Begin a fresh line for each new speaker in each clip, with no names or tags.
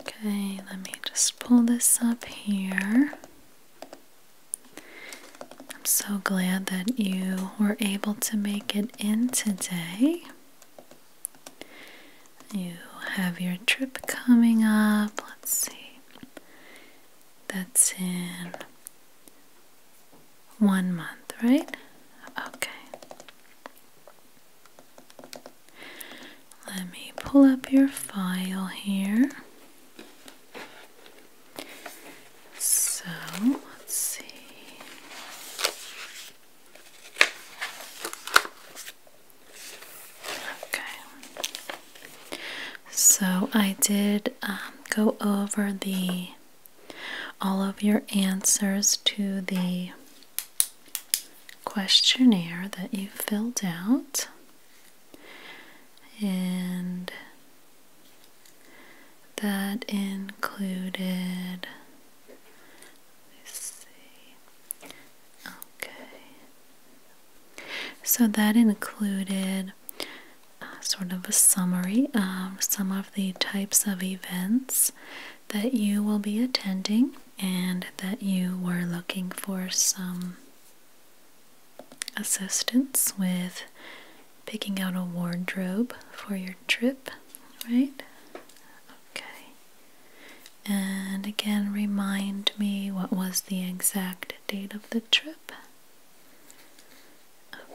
Okay, let me just pull this up here. I'm so glad that you were able to make it in today. You have your trip coming up. Let's see. That's in one month, right? Okay. Let me pull up your file here. So, let's see. Okay. So, I did um, go over the all of your answers to the questionnaire that you filled out. And that included, let's see, okay. So that included uh, sort of a summary of some of the types of events that you will be attending and that you were looking for some assistance with picking out a wardrobe for your trip, right? Okay. And again, remind me what was the exact date of the trip.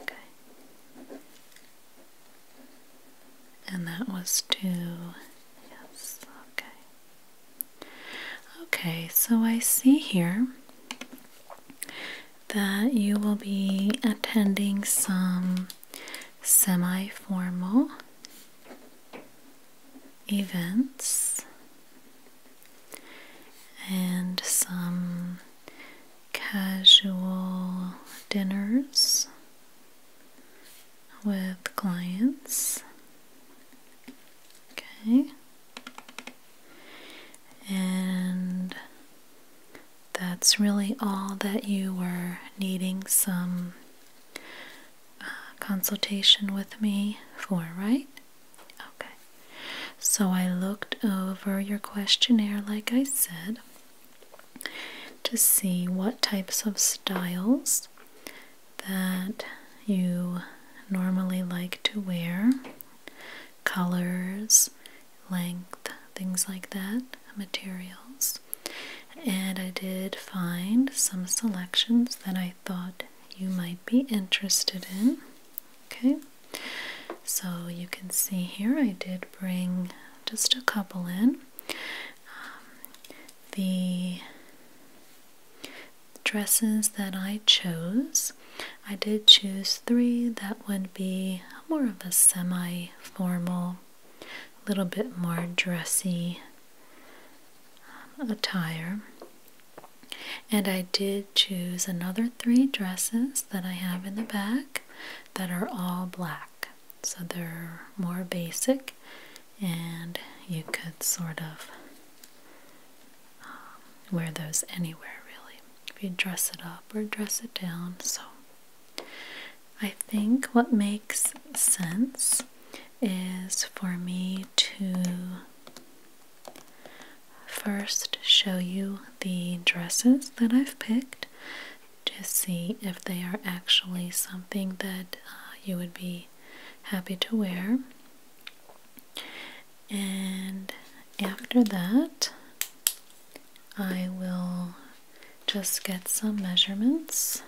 Okay. And that was two. Yes, okay. Okay, so I see here that you will be attending some semi formal events and some casual dinners with clients. Okay. And that's really all that you were needing some uh, consultation with me for, right? Okay. So I looked over your questionnaire, like I said to see what types of styles that you normally like to wear, colors, length, things like that, materials. And I did find some selections that I thought you might be interested in. Okay, so you can see here I did bring just a couple in. Um, the dresses that I chose, I did choose three that would be more of a semi formal, a little bit more dressy um, attire. And I did choose another three dresses that I have in the back that are all black. So they're more basic, and you could sort of um, wear those anywhere really. If you dress it up or dress it down. So I think what makes sense is for me to first show you the dresses that I've picked to see if they are actually something that uh, you would be happy to wear. And after that, I will just get some measurements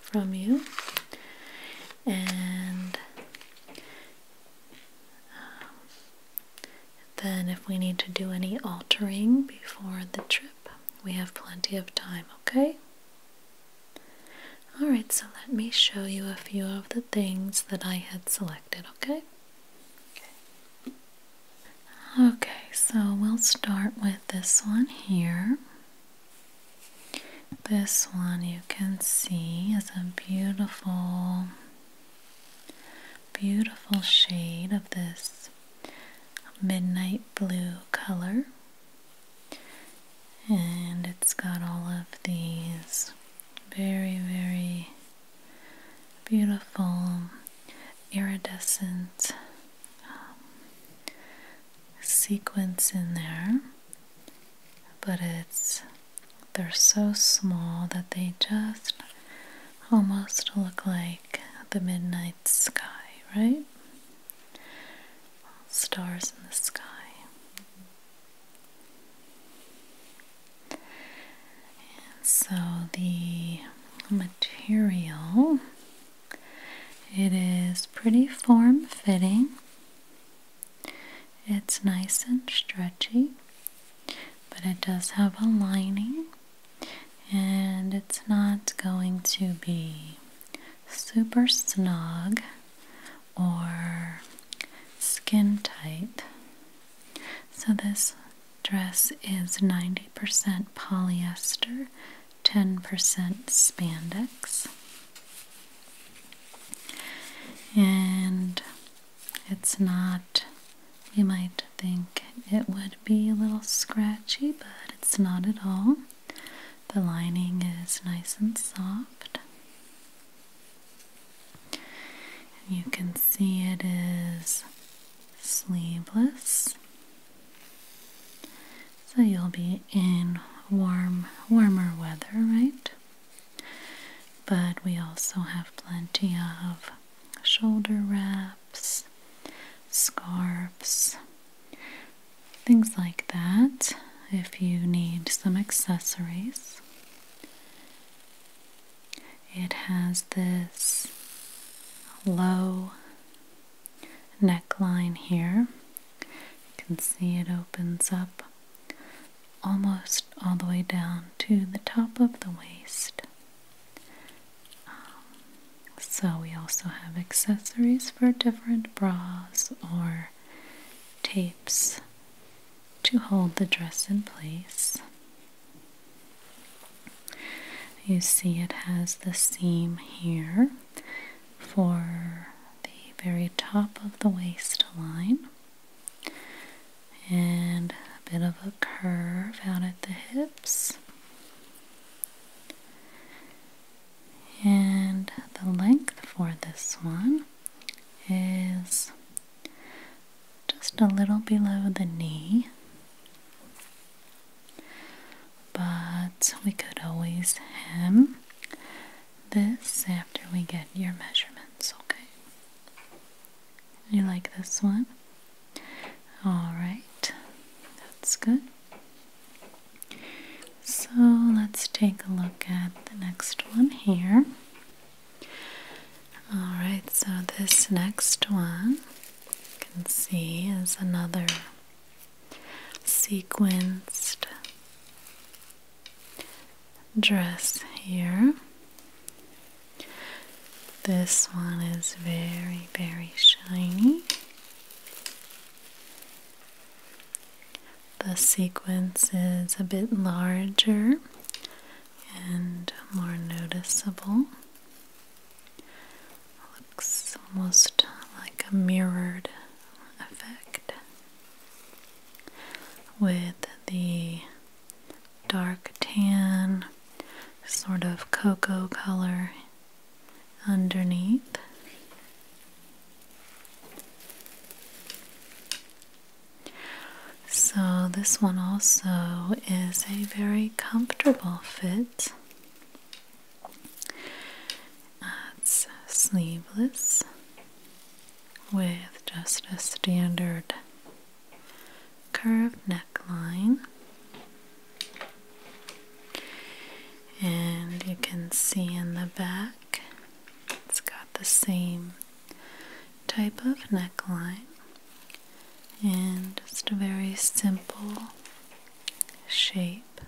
from you and um, then if we need to do any altering before the trip we have plenty of time, okay? Alright, so let me show you a few of the things that I had selected, okay? Okay, okay so we'll start with this one here. This one you can see is a beautiful, beautiful shade of this midnight blue color and it's got all of these very very beautiful iridescent um, sequence in there but it's they're so small that they just almost look like the midnight sky, right? stars in the sky. so the material it is pretty form fitting. It's nice and stretchy, but it does have a lining and it's not going to be super snug or skin tight. So, this dress is 90% polyester, 10% spandex, and it's not, you might think it would be a little scratchy, but it's not at all. The lining is nice and soft. you can see it is sleeveless. So you'll be in warm, warmer weather, right? But we also have plenty of shoulder wrap scarves, things like that if you need some accessories. It has this low neckline here. You can see it opens up almost all the way down to the top of the waist. Um, so, we also have accessories for different bras or tapes to hold the dress in place. You see, it has the seam here for the very top of the waistline and a bit of a curve out at the hips. And the length for this one is just a little below the knee, but we could always hem this after we get your measurements, okay? You like this one? All right, that's good. So let's take a look at the next one here. All right, so this next one you can see is another sequenced dress here. This one is very, very shiny. The sequence is a bit larger and more noticeable. Looks almost like a mirrored effect with the dark tan, sort of cocoa color underneath. So, this one also is a very comfortable fit. It's sleeveless with just a standard curved neckline. And you can see in the back, it's got the same type of neckline and just a very simple shape.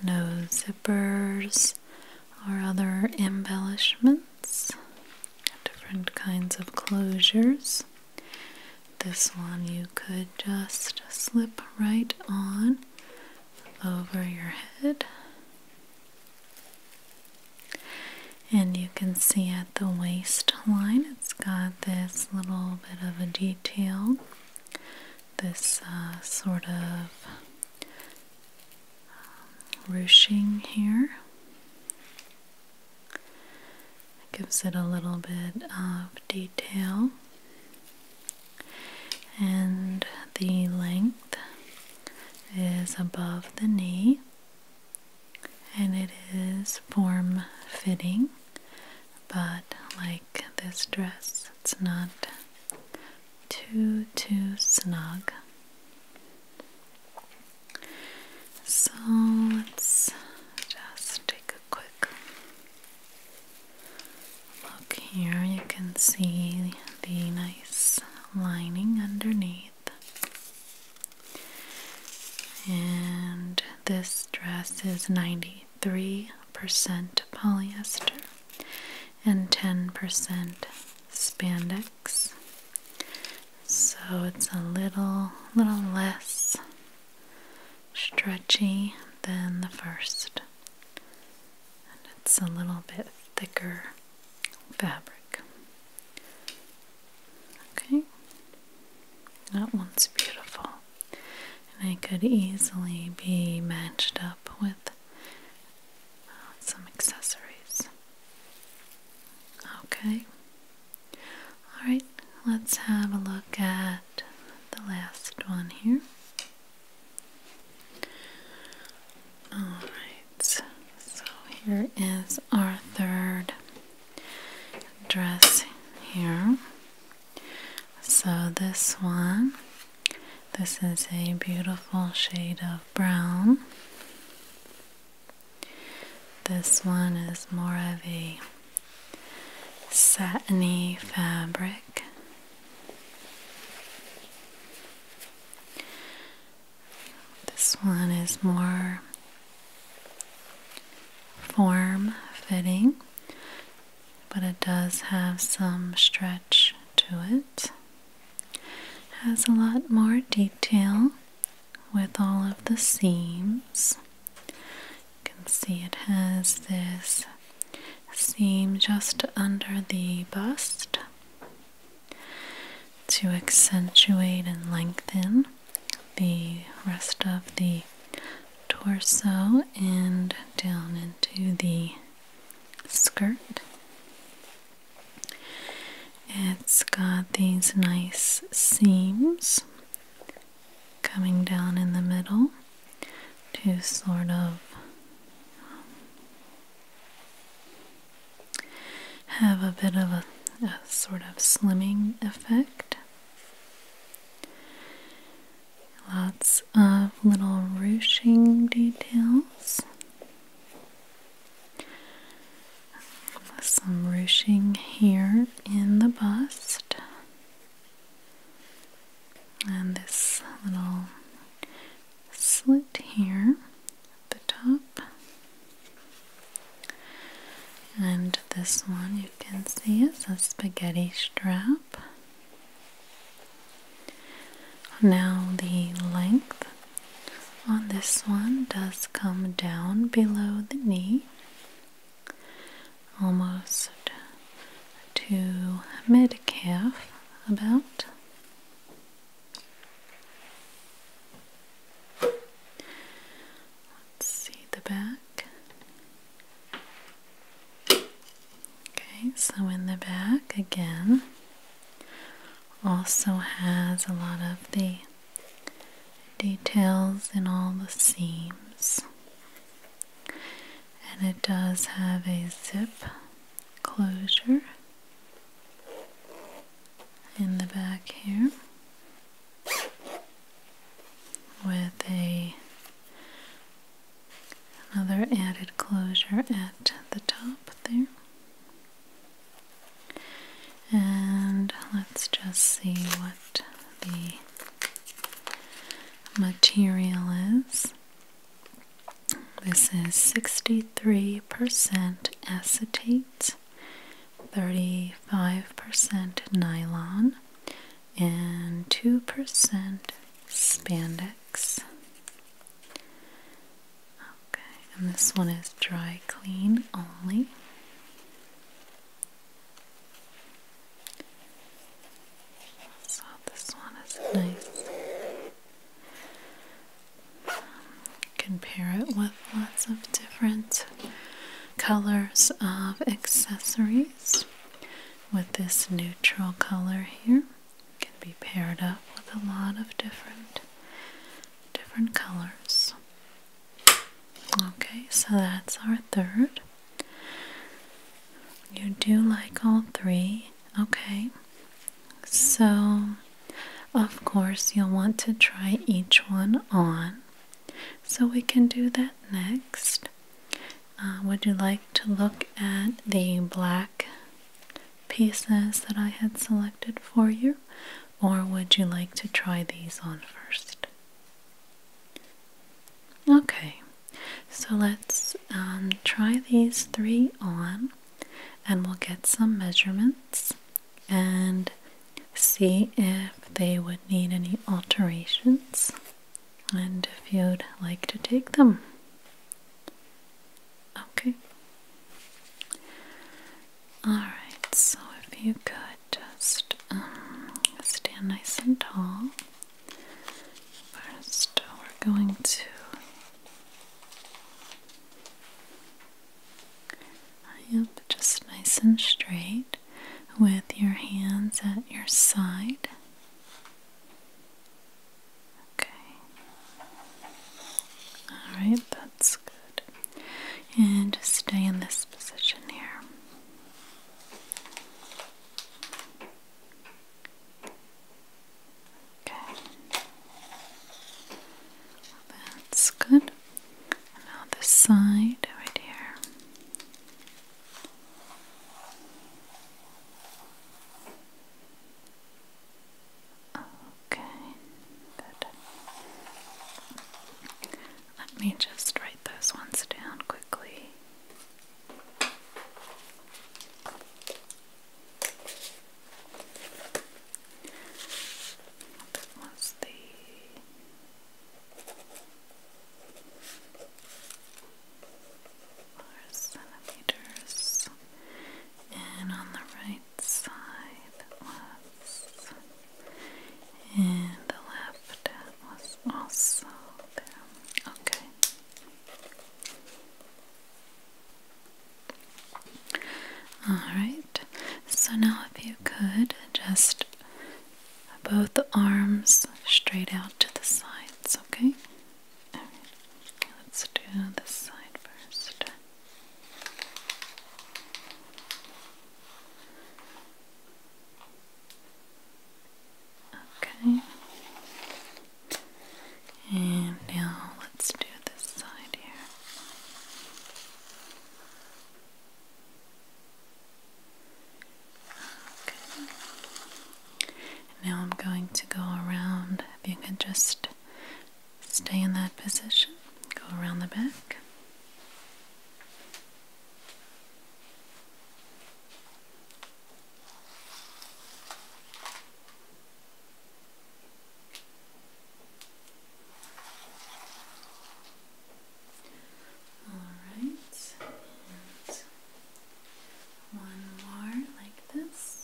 No zippers or other embellishments, different kinds of closures. This one you could just slip right on over your head. And you can see at the waistline, it's got this little bit of a detail, this uh, sort of um, ruching here gives it a little bit of detail. And the length is above the knee, and it is form fitting, but like this dress, it's not too, too snug. So let's just take a quick Look here, you can see the nice lining underneath. And this dress is 93% polyester and 10% spandex. So it's a little little less stretchy than the first, and it's a little bit thicker fabric. Okay, that one's beautiful, and it could easily be matched up with uh, some accessories. Okay, Alright, let's have a look at the last one here. Alright, so here is our third dress here. So this one, this is a beautiful shade of brown. This one is more of a satiny fabric. This one is more form fitting, but it does have some stretch to it. Has a lot more detail with all of the seams. You can see it has this seam just under the bust to accentuate and lengthen the rest of the torso and down into the skirt. It's got these nice seams coming down in the middle to sort of um, have a bit of a, sort of slimming effect. Lots of little ruching details. Some ruching here in the bust and this little slit here at the top and this one you can see is a spaghetti strap now the length on this one does come down below the knee almost to mid calf, about. Let's see the back. Okay, so in the back again, also has a lot of the details in all the seams and it does have a zip closure in the back here with a another added closure at the top there and let's just see what the material is. This is 63% acetate, 35% nylon, and 2% spandex. Okay, and this one is dry clean only. So this one is nice. Um, compare it with lots of different colors of accessories. With this neutral color here, can be paired up with a lot of different different colors. Okay, so that's our third. You do like all three. Okay. So, of course, you'll want to try each one on. So, we can do that next. Uh, would you like to look at the black pieces that I had selected for you, or would you like to try these on first? Okay, so let's um, try these three on and we'll get some measurements and see if they would need any alterations and if you'd like to take them. Okay. Alright, so if you could just um, stand nice and tall First, we're going to Yep, just nice and straight with your hands at your side. Okay. Alright, that's good. And just stay in this position here. Okay. that's good. now this side right here. Okay, good. Let me just write those ones down quickly. That was the four centimeters, and on the right side was, and the left was also there. Okay. Alright, so now if you could just both the arms straight out to the sides, okay? let's do this side first. Okay. And now let's do this side here. Okay. Now I'm going to go around. If you could just stay in that position, go around the back. Alright, and one more like this.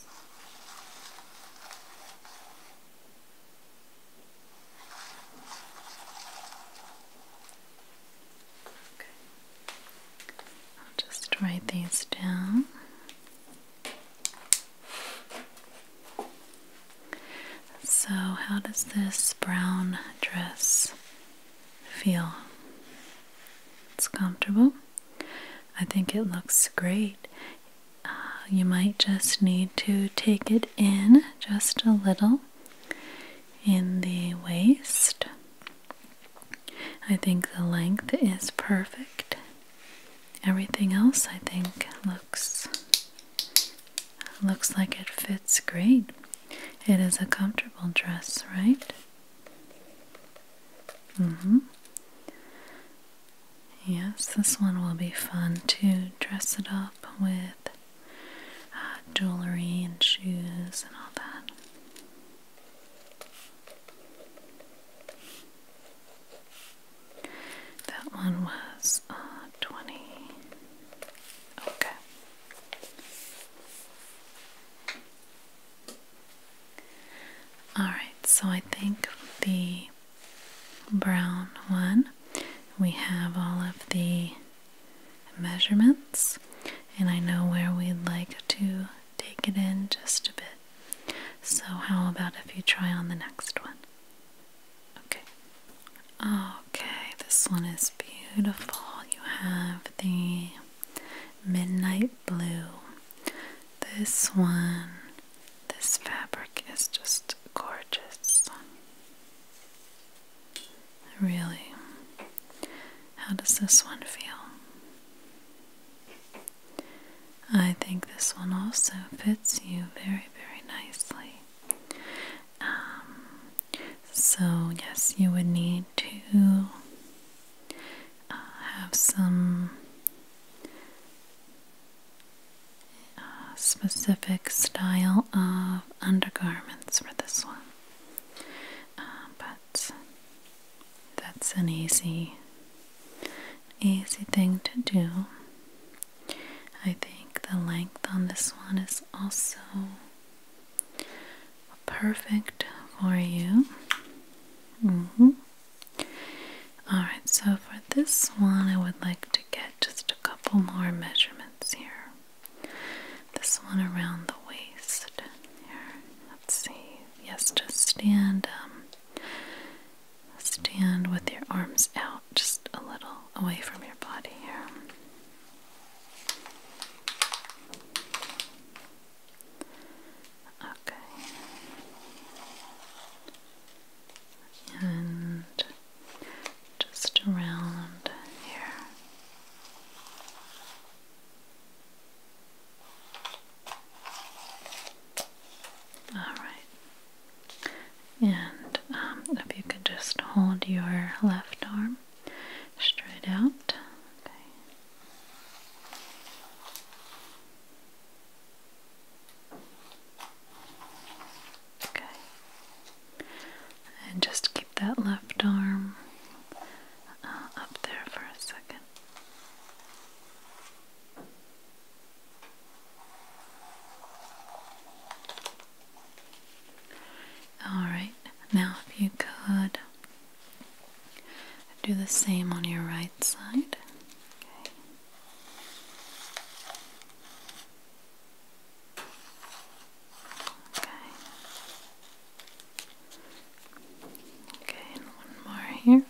Okay. I'll just write these down. So, how does this brown dress feel? It's comfortable. I think it looks great. Uh, you might just need to take it in just a little in the waist I think the length is perfect. Everything else I think looks looks like it fits great. It is a comfortable dress, right? hmm Yes, this one will be fun to dress it up with uh, jewelry and shoes and all that. That one was uh, 20. Okay. All right, so I think the brown one, we have all of the measurements and I know where we'd like to take it in just a bit. So how about if you try on the next one? Okay. Okay, this one is beautiful. You have the midnight blue. This one, this fabric is just gorgeous. Really, how does this one feel? I think this one also fits you very, very nicely. Um, so, yes, you would need to uh, have some uh, specific style of undergarments for this one. Uh, but that's an easy easy thing to do. I think the length on this one is also perfect for you. Mm-hmm. Alright, so for this one, I would like to get just a couple more measurements here. This one around the waist. Here, let's see. Yes, just stand. Um, stand with your arms out, just a little away from your body here. Okay. And just around here. All right. And um, if you could just hold your left arm straight out. Okay. And just keep that left arm uh, up there for a second. Alright, now if you could do the same on your right side. Okay. Okay. Okay, one more here.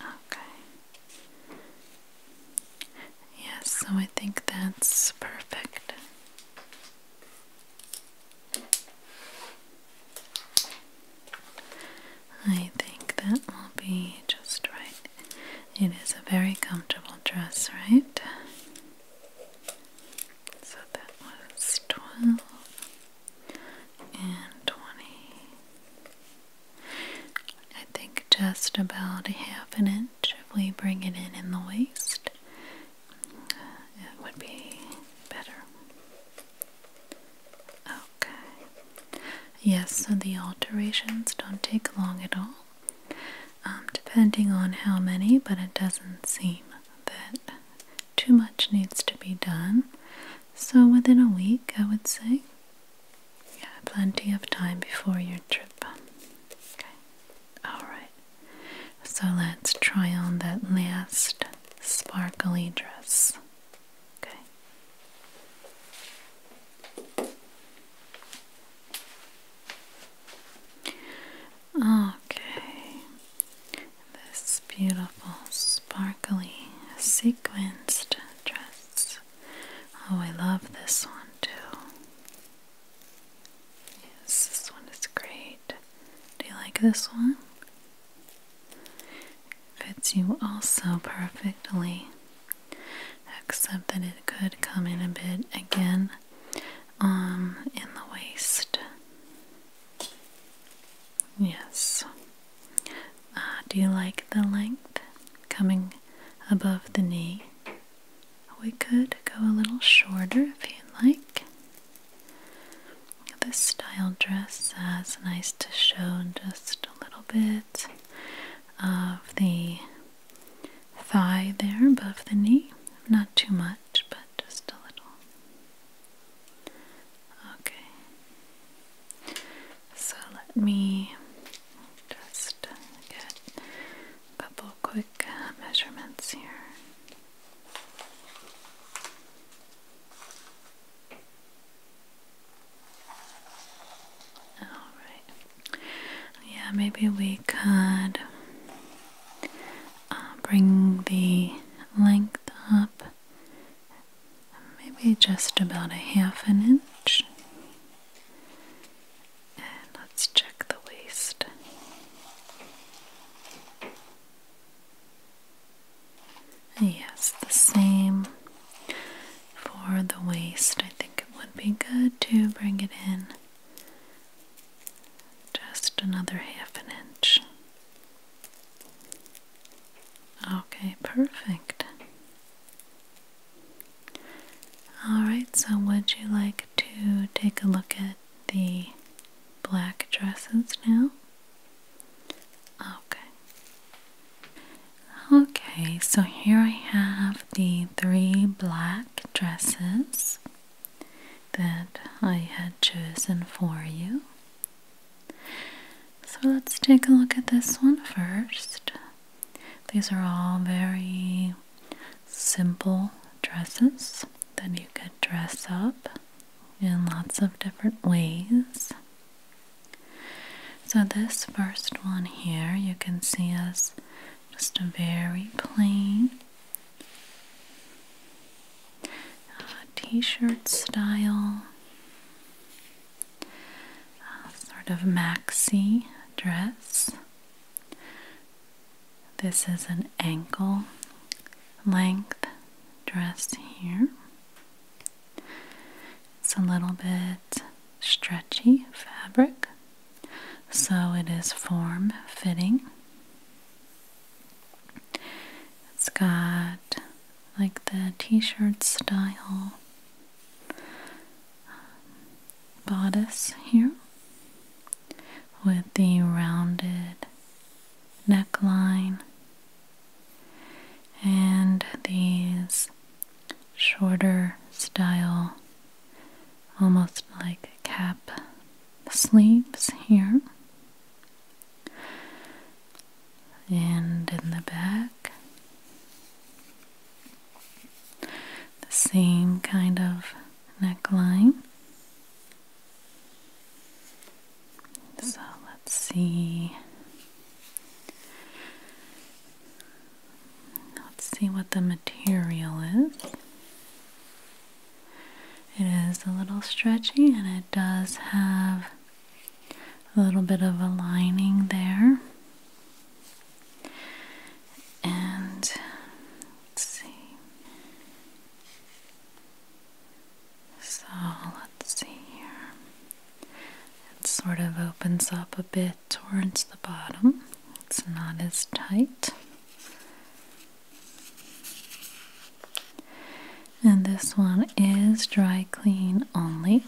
Okay. Yes, so I think that's perfect. I think that will be just right. It is a very comfortable dress, right? So that was 12 and 20. I think just about a half an inch if we bring it in in the waist. It would be better. Oh, Okay. Yes, so the alterations don't take long at all, um, depending on how many, but it doesn't seem that too much needs to be done. So within a week, I would say. Yeah, plenty of time before your trip. Okay. Alright. So let's try on that last sparkly dress. Okay. Okay. This beautiful, sparkly, sequenced dress. Oh, I love this one too. Yes, this one is great. Do you like this one? Fits you also perfectly except that it could come in a bit again um in the waist yes uh, do you like the length coming above the knee we could go a little shorter if you'd like this style dress has nice to show just a little bit of the thigh there above the knee. Not too much, but just a little. Okay. So let me just get a couple quick uh, measurements here. Alright. Yeah, maybe we could uh, bring the length up maybe just about a half an inch. And let's check the waist. Yes, the same for the waist, I think it would be good to bring it in just another half an inch. Okay, perfect. Alright, so would you like to take a look at the black dresses now? Okay. Okay, so here I have the three black dresses that I had chosen for you. So let's take a look at this one first. These are all very simple dresses that you could dress up in lots of different ways. So, this first one here, you can see is just a very plain uh, t shirt style, uh, sort of maxi dress. This is an ankle length dress here. It's a little bit stretchy fabric, so it is form fitting. It's got like the t shirt style um, bodice here with the rounded neckline and these shorter style, almost like cap sleeves here. And in the back, the same kind of neckline. So let's see. Let's see what the material is. It is a little stretchy and it does have a little bit of a lining there. And see. So let's see here. It sort of opens up a bit towards the bottom, it's not as tight. And this one is dry clean only.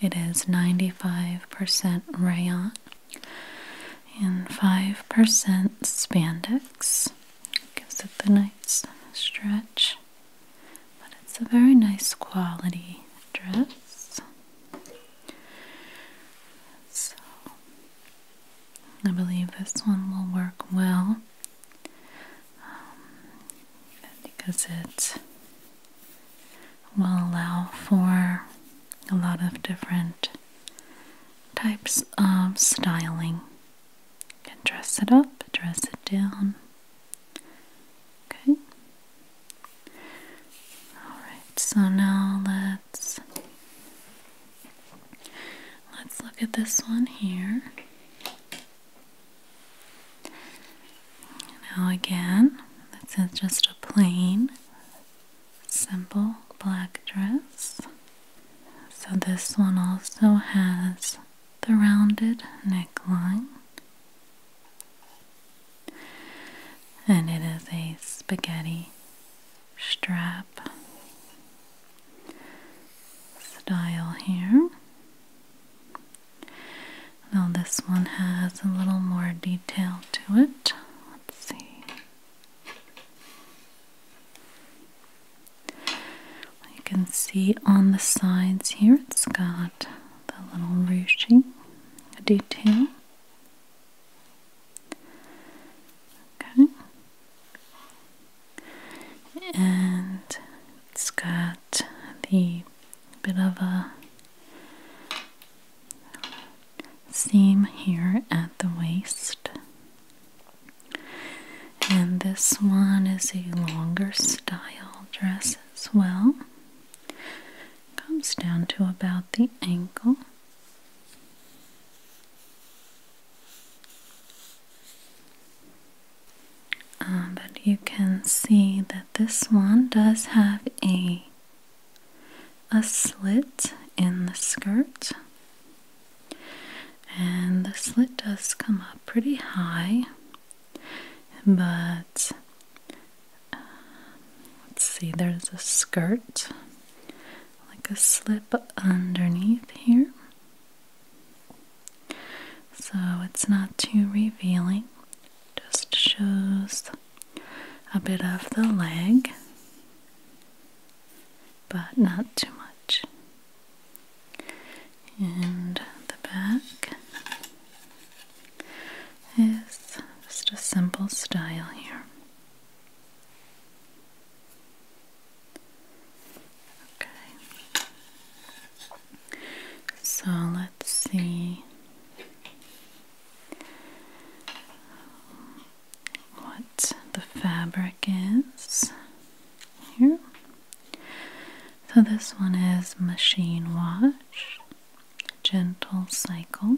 It is 95% rayon and 5% spandex. Gives it the nice stretch, but it's a very nice quality dress. So I believe this one will work well um, because it will allow for a lot of different types of styling. You can dress it up, dress it down. Okay. Alright, so now let's let's look at this one here. Now again, this is just a plain, simple black dress. So this one also has the rounded neckline and it is a spaghetti strap style here. Now, this one has a little more detail to it. Let's see. You can see on the sides here it's got the little ruching detail. Okay. And it's got the bit of a seam here at the waist. And this one is a longer style dress as well comes down to about the ankle. Uh, but you can see that this one does have a a slit in the skirt and the slit does come up pretty high but let's see, there's a skirt, like a slip underneath here. So it's not too revealing, just shows a bit of the leg, but not too much. And the back is just a simple style here. Okay. So let's see what the fabric is here. So this one is machine wash gentle cycle,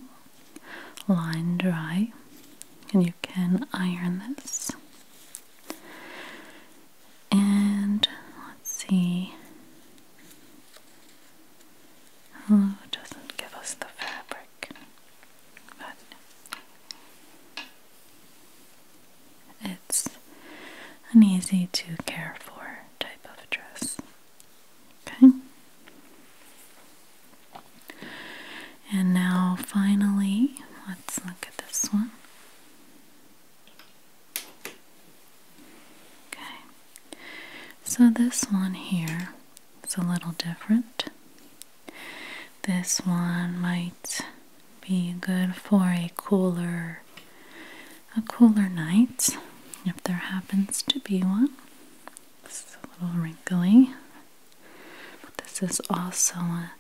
line dry, and you can iron this. And let's see. Oh, it doesn't give us the fabric, but it's an easy to care for type of dress. Okay. And now, finally, let's look at this one. Okay. So, this one here is a little different. This one might be good for a cooler a cooler night if there happens to be one. This is a little wrinkly, but this is also a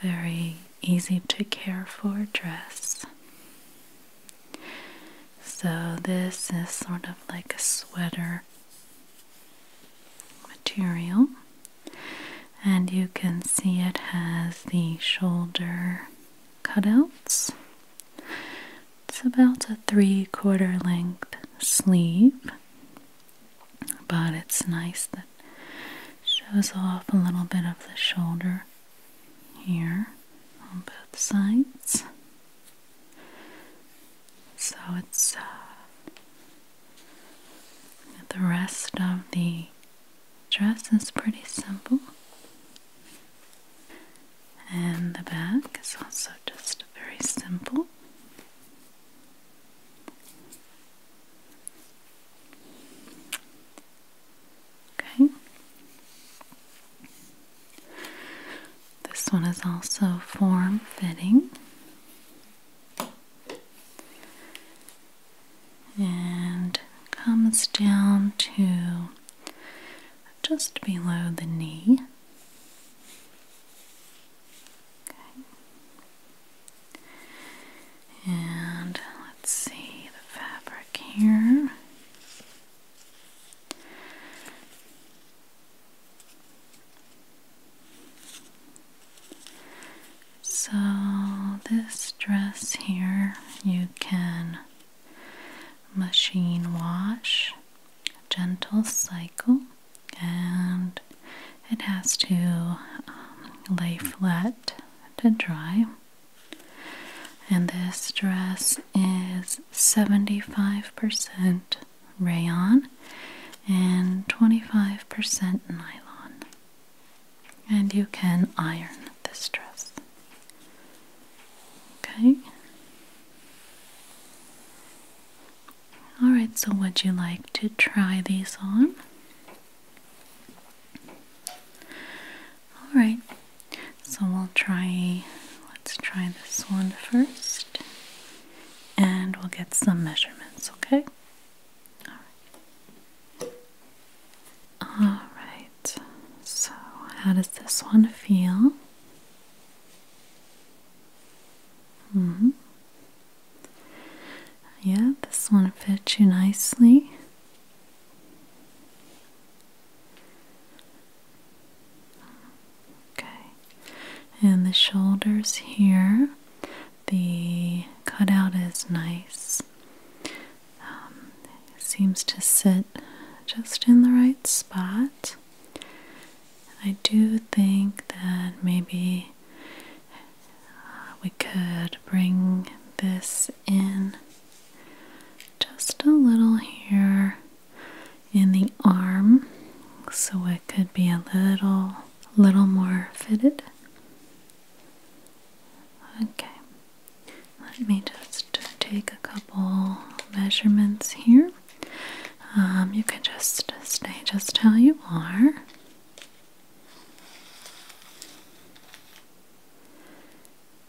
very easy to care for dress. So, this is sort of like a sweater material, and you can see it has the shoulder cutouts it's about a three quarter length sleeve, but it's nice that shows off a little bit of the shoulder here on both sides. So it's uh, the rest of the dress is pretty simple and the back is also just very simple. Okay. This one is also form fitting. And comes down to just below the knee. Okay. And let's see the fabric here. So, this dress here you can machine wash, gentle cycle, and it has to um, lay flat to dry. And this dress is 75% rayon and 25% nylon. And you can iron this dress. Okay, all right, so would you like to try these on? All right. So we'll try let's try this one first and we'll get some measurements, okay? All right. All right. So, how does this one feel? -hmm. Yeah, this one fits you nicely. Okay, and the shoulders here, the cutout is nice. Um, seems to sit just in the right spot. I do think that maybe uh, we could bring this in just a little here in the arm so it could be a little little more fitted. Okay. Let me just take a couple measurements here. Um, you can just stay just how you are.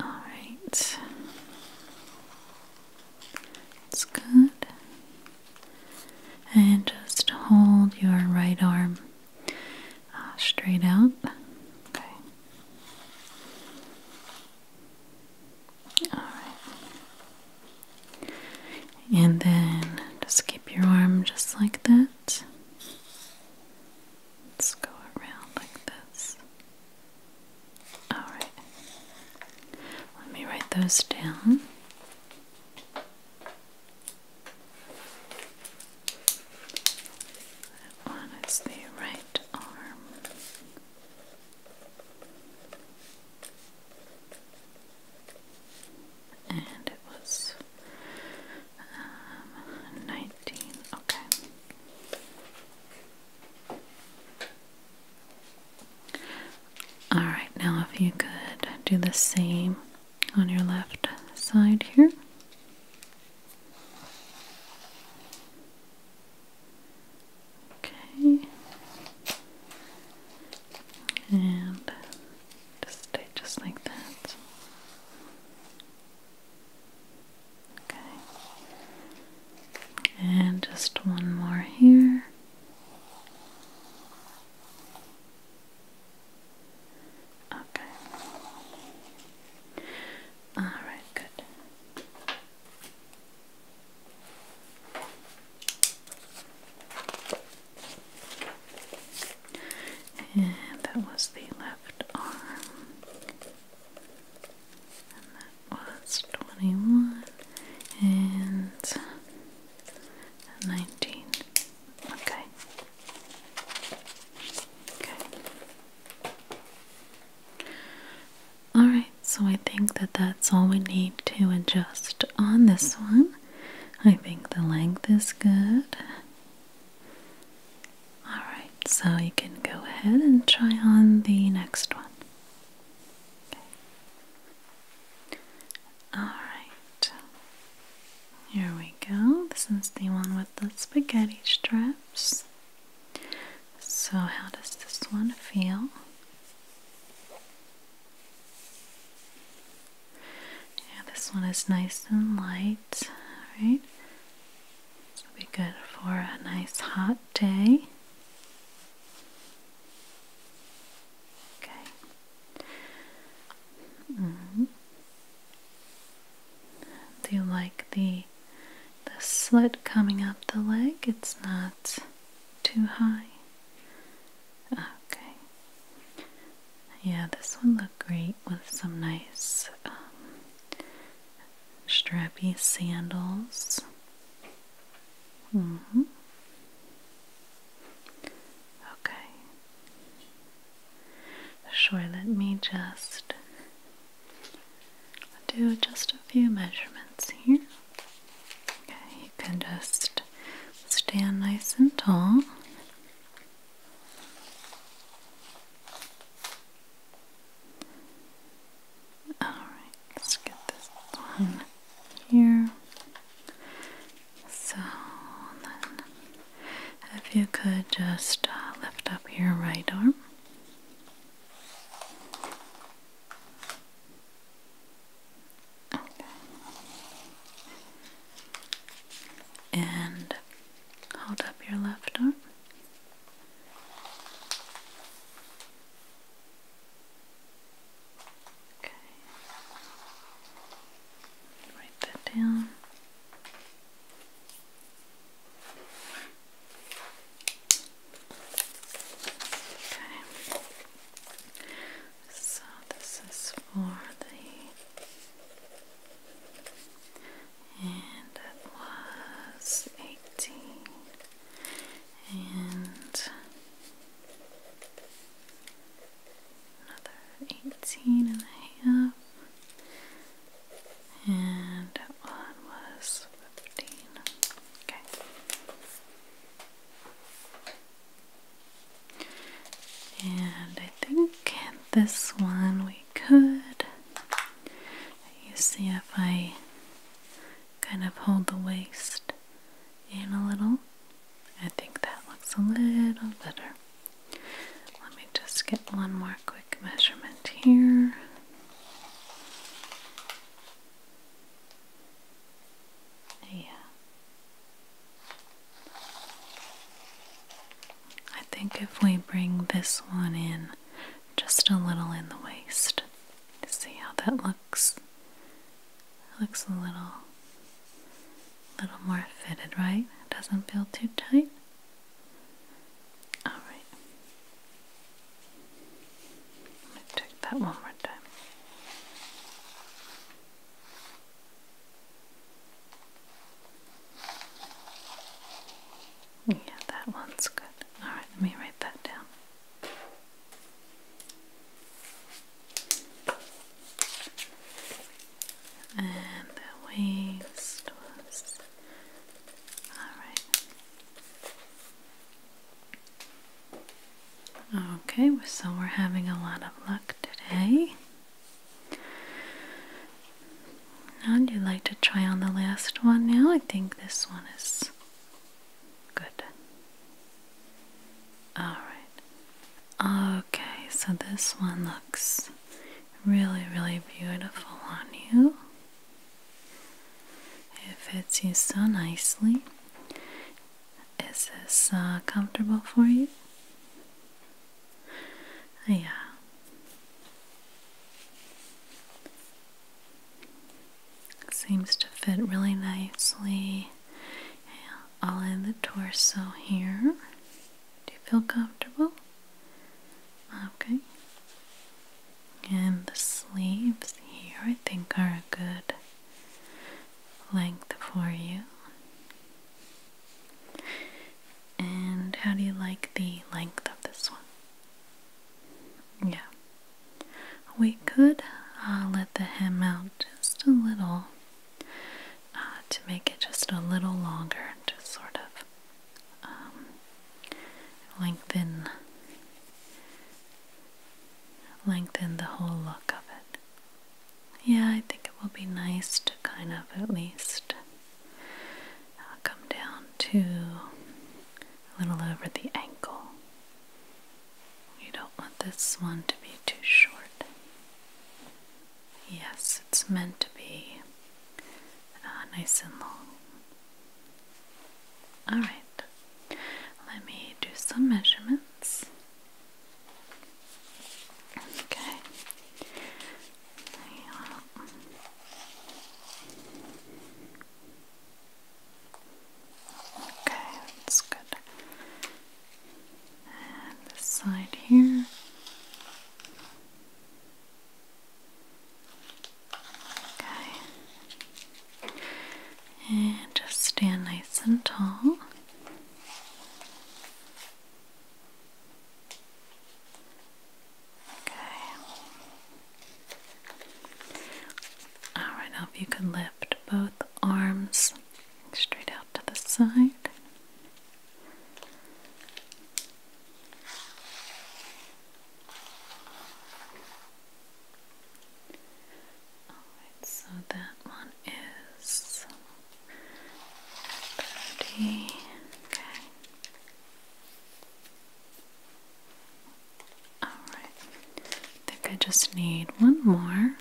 All right. That's good. And just hold your right arm uh, straight out. Okay. Alright. And then just keep your arm just like that. Let's go around like this. Alright. Let me write those down. That one is the right arm and it was um, 19, okay. Alright, now if you could do the same on your left side here. Okay. And just stay just like that. Okay. And just one more here. Okay. All right, good. And that was the left arm. And that was 21 and 19. Okay. Okay. Alright, so I think that that's all we need to adjust on this one. I think the length is good. Alright, so you can go ahead and try on the next one. Okay. Alright, here we go. This is the one with the spaghetti straps. So, how does this one feel? Yeah, this one is nice and light, right? This will be good for a nice hot day. Okay. Mm-hmm. Do you like the the slit coming up the leg? It's not too high? Okay. Yeah, this one look great with some nice um, strappy sandals. hmm Okay. Sure, let me just I'll do just a few measurements here. Okay, you can just stand nice and tall. Alright, let's get this one here. So then, if you could just uh,
lift up your right
arm. And hold up your left arm. Okay. Write that down. Okay. So this is for the and it was eighteen and another eighteen and a half and that one was fifteen. Okay. And I think this one we could. You see if I kind of hold the waist in a little. I think that looks a little better. Let me just get one more quick measurement here. Yeah. I think if we bring this one in just a little in the waist, see how that looks. looks a little, little more fitted, right? It doesn't feel too tight. All right. I'm going to check that one more time. Yeah, that one's good. Alright, let me write that down. And the waist was. Alright. Okay, so we're having a lot of luck today. And you'd like to try on the last one now? I think this one is good. Alright. Okay, so this one looks really, really beautiful on you. It fits you so nicely. Is this uh, comfortable for you? Yeah. Seems to fit really nicely all in the torso here. Do you feel comfortable? Okay. And the sleeves here I think are good length for you. And how do you like the length of this one? Yeah. We could uh, let the hem out just a little uh, to make it just a little longer, to sort of um, lengthen lengthen the whole look of it. Yeah, I think it will be nice to kind of at least uh, come down to a little over the ankle. We don't want this one to be too short. Yes, it's meant to be uh, nice and long. Alright, let me do some measurements. Okay. Okay, that's good. And this side here. Okay. And just stand nice and tall. Okay. Alright, now if you can lift both arms straight out to the side so that one is 30. Okay. Alright, I think I just need one more.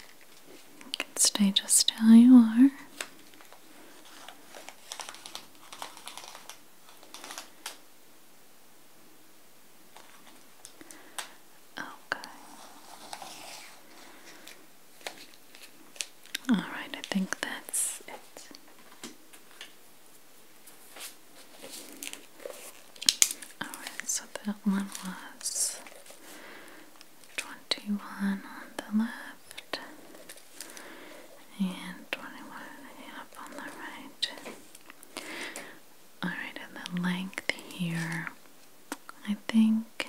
can stay just how you are. Okay. All right, I think that's it. All right, so that one was 21 on the left and 21 up on the right. All right, and the length here I think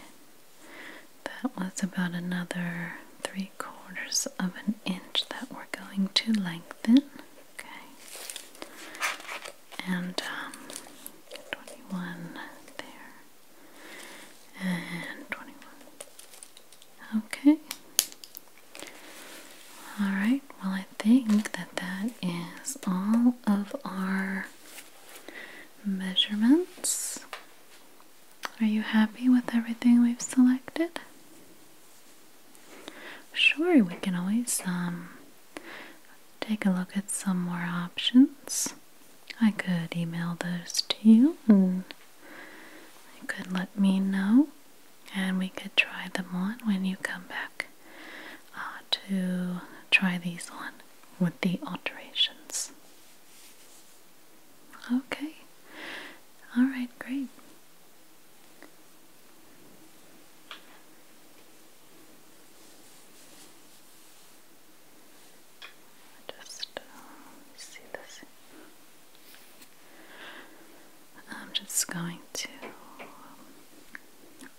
that was about another three quarters of an inch that we're going to lengthen. Okay. And um, 21 there. And 21. Okay. Alright, well, I think that that is all of our measurements. Are you happy with everything we've selected? Sure, we can always um, take a look at some more options. I could email those to you and you could let me know and we could try them on when you come back. Uh, to try these on with the alterations. Okay, all right, great. Just uh, see this. I'm just going to. Um,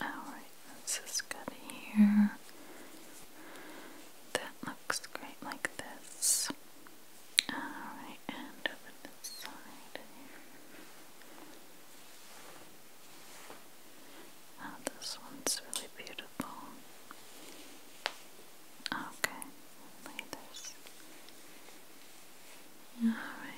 all right. This is good here. That looks great like this. Alright, and over this side here. Oh, this one's really beautiful. Okay, lay this. Alright.